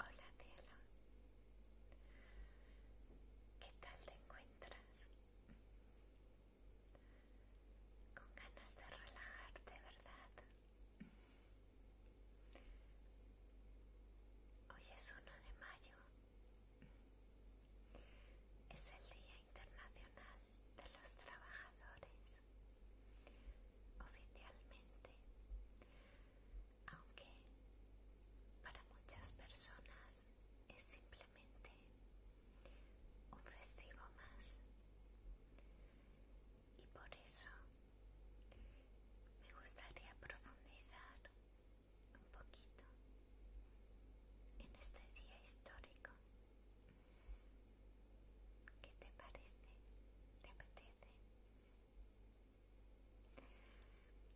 Hola cielo, ¿qué tal te encuentras? Con ganas de relajarte, ¿verdad? Hoy es 1 de mayo. Es el Día Internacional de los trabajadores oficialmente, aunque para muchas personas es simplemente un festivo más y por eso me gustaría profundizar un poquito en este día histórico ¿Qué te parece? ¿Te apetece? Bueno, el 1 de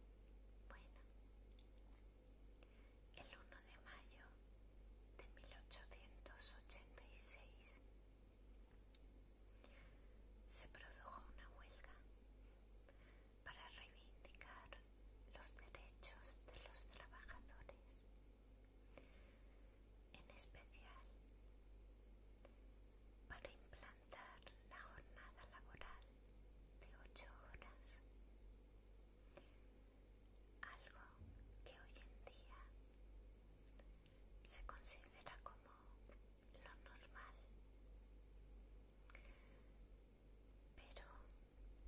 mayo de 1886 se produjo una huelga para reivindicar los derechos de los trabajadores en especial para implantar la jornada laboral de ocho horas, algo que hoy en día se considera como lo normal, pero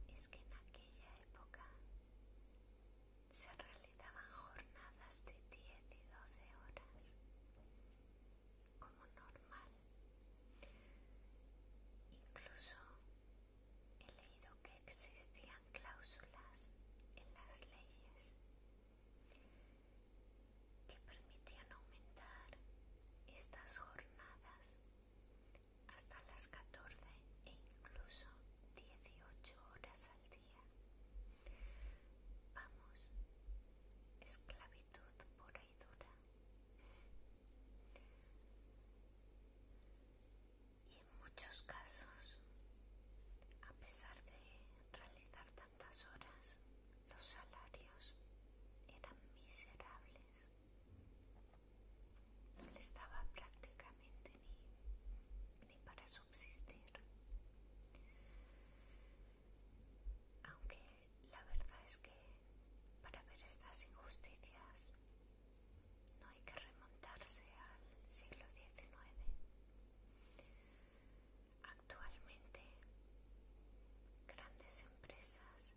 es que en aquella época se realizaban jornadas de 10 y 12 horas como normal. Incluso he leído que existían cláusulas en las leyes que permitían aumentar estas jornadas hasta las 14 e incluso 18 horas al día. Vamos, esclavitud por ahí dura. Y en muchos casos, a pesar de realizar tantas horas, los salarios eran miserables. No le estaba prácticamente ni, ni para subsistir. Aunque la verdad es que para ver estas injusticias no hay que remontarse al siglo XIX. Actualmente, grandes empresas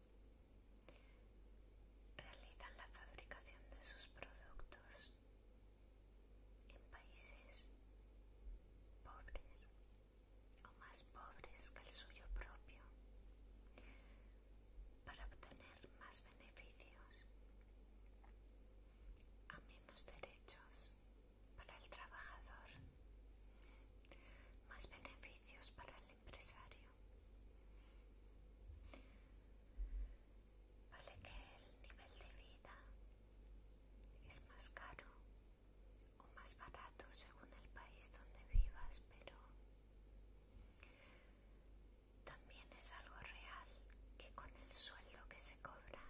Realizan la fabricación de sus productos en países pobres o más pobres que el suyo propio para obtener más beneficios a menos derechos para el trabajador más beneficios para el Vale que el nivel de vida es más caro o más barato según el país donde vivas, pero también es algo real que con el sueldo que se cobra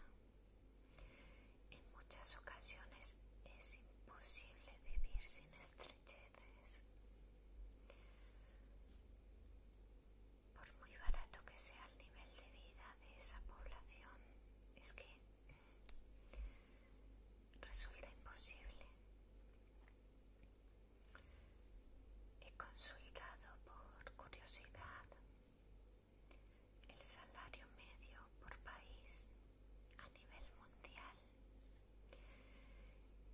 en muchas ocasiones es imposible vivir sin estrés. Por muy barato que sea el nivel de vida de esa población, es que resulta imposible. He consultado por curiosidad el salario medio por país a nivel mundial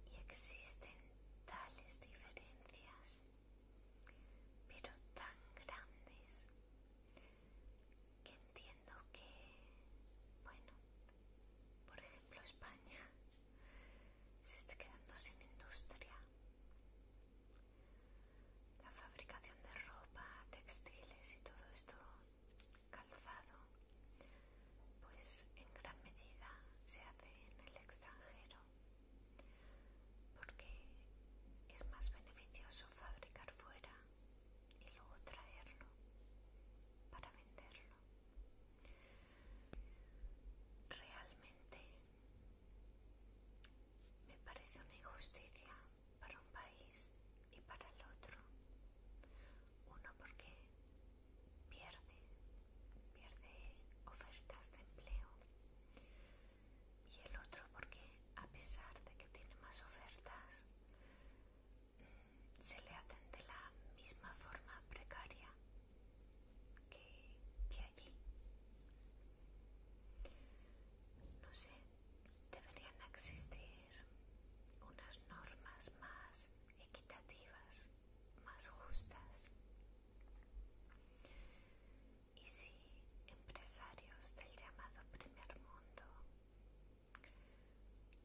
y existen tales diferencias, pero tan grandes, que entiendo que, bueno, por ejemplo España se está quedando sin industria. La fabricación de ropa, textiles y todo esto calzado, pues en gran medida se hace en el extranjero, porque es más beneficioso fabricar fuera y luego traerlo para venderlo. Realmente me parece una injusticia para un país y para el otro. Uno porque pierde, pierde ofertas de empleo y el otro porque a pesar de que tiene más ofertas, mm, se le atende de la misma forma precaria que, que allí. No sé deberían existir unas normas más equitativas, más justas. Y si empresarios del llamado primer mundo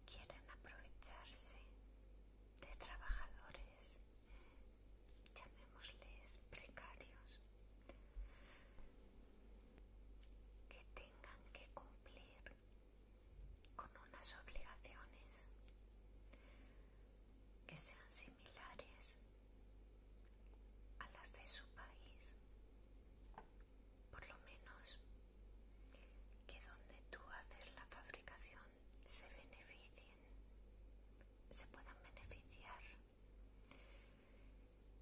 quieren aprovecharse de trabajadores, llamémosles precarios, que tengan que cumplir con unas obligaciones que sean similares a las de su país por lo menos que donde tú haces la fabricación se beneficien se puedan beneficiar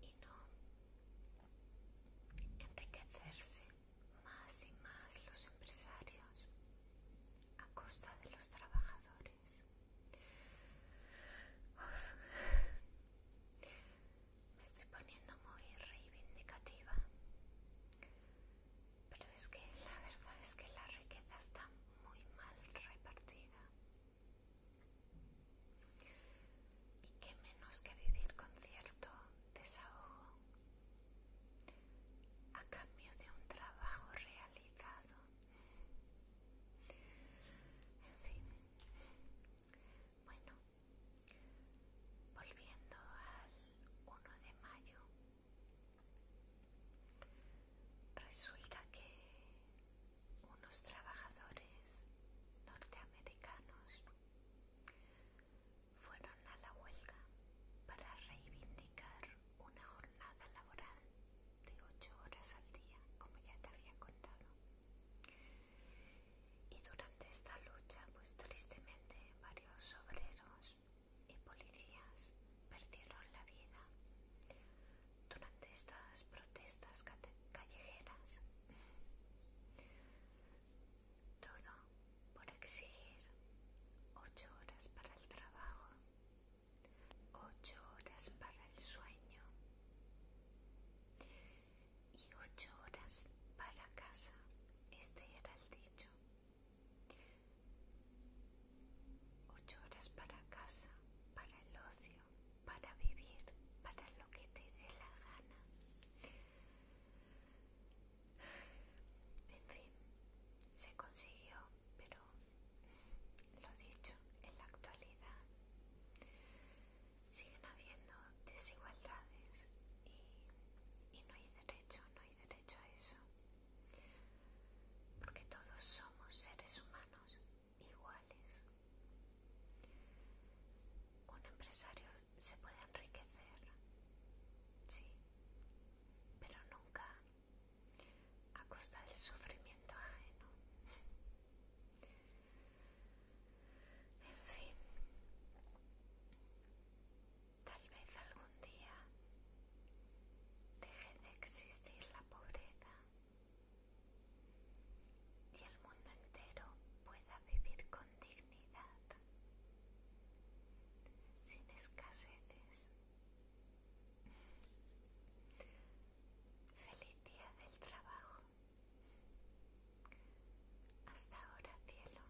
y no enriquecerse más y más los empresarios a costa de los trabajadores. Me estoy poniendo muy reivindicativa, pero es que la verdad es que la riqueza está muy mal repartida. Y qué menos que vivir con cierto desahogo a cambio de un trabajo realizado. En fin, bueno, volviendo al 1 de mayo, resulta que unos trabajadores norteamericanos fueron a la huelga para reivindicar una jornada laboral de ocho horas al día, como ya te había contado. Y durante esta lucha, pues tristemente varios obreros y policías perdieron la vida durante estas protestas callejeras. Todo por exigir ocho horas para el trabajo, ocho horas para el sueño y ocho horas para casa. Este era el dicho. Ocho horas para casa, para el ocio, para vivir, para lo que te dé la gana. En fin, se consiguió, pero lo dicho, en la actualidad siguen habiendo desigualdades y, no hay derecho, no hay derecho a eso. Porque todos somos seres humanos iguales. Un empresario se puede enriquecer, sí, pero nunca a costa del sufrimiento ajeno. En fin, tal vez algún día deje de existir la pobreza y el mundo entero pueda vivir con dignidad, sin escaseces. Feliz día del trabajo. Hasta ahora, cielo.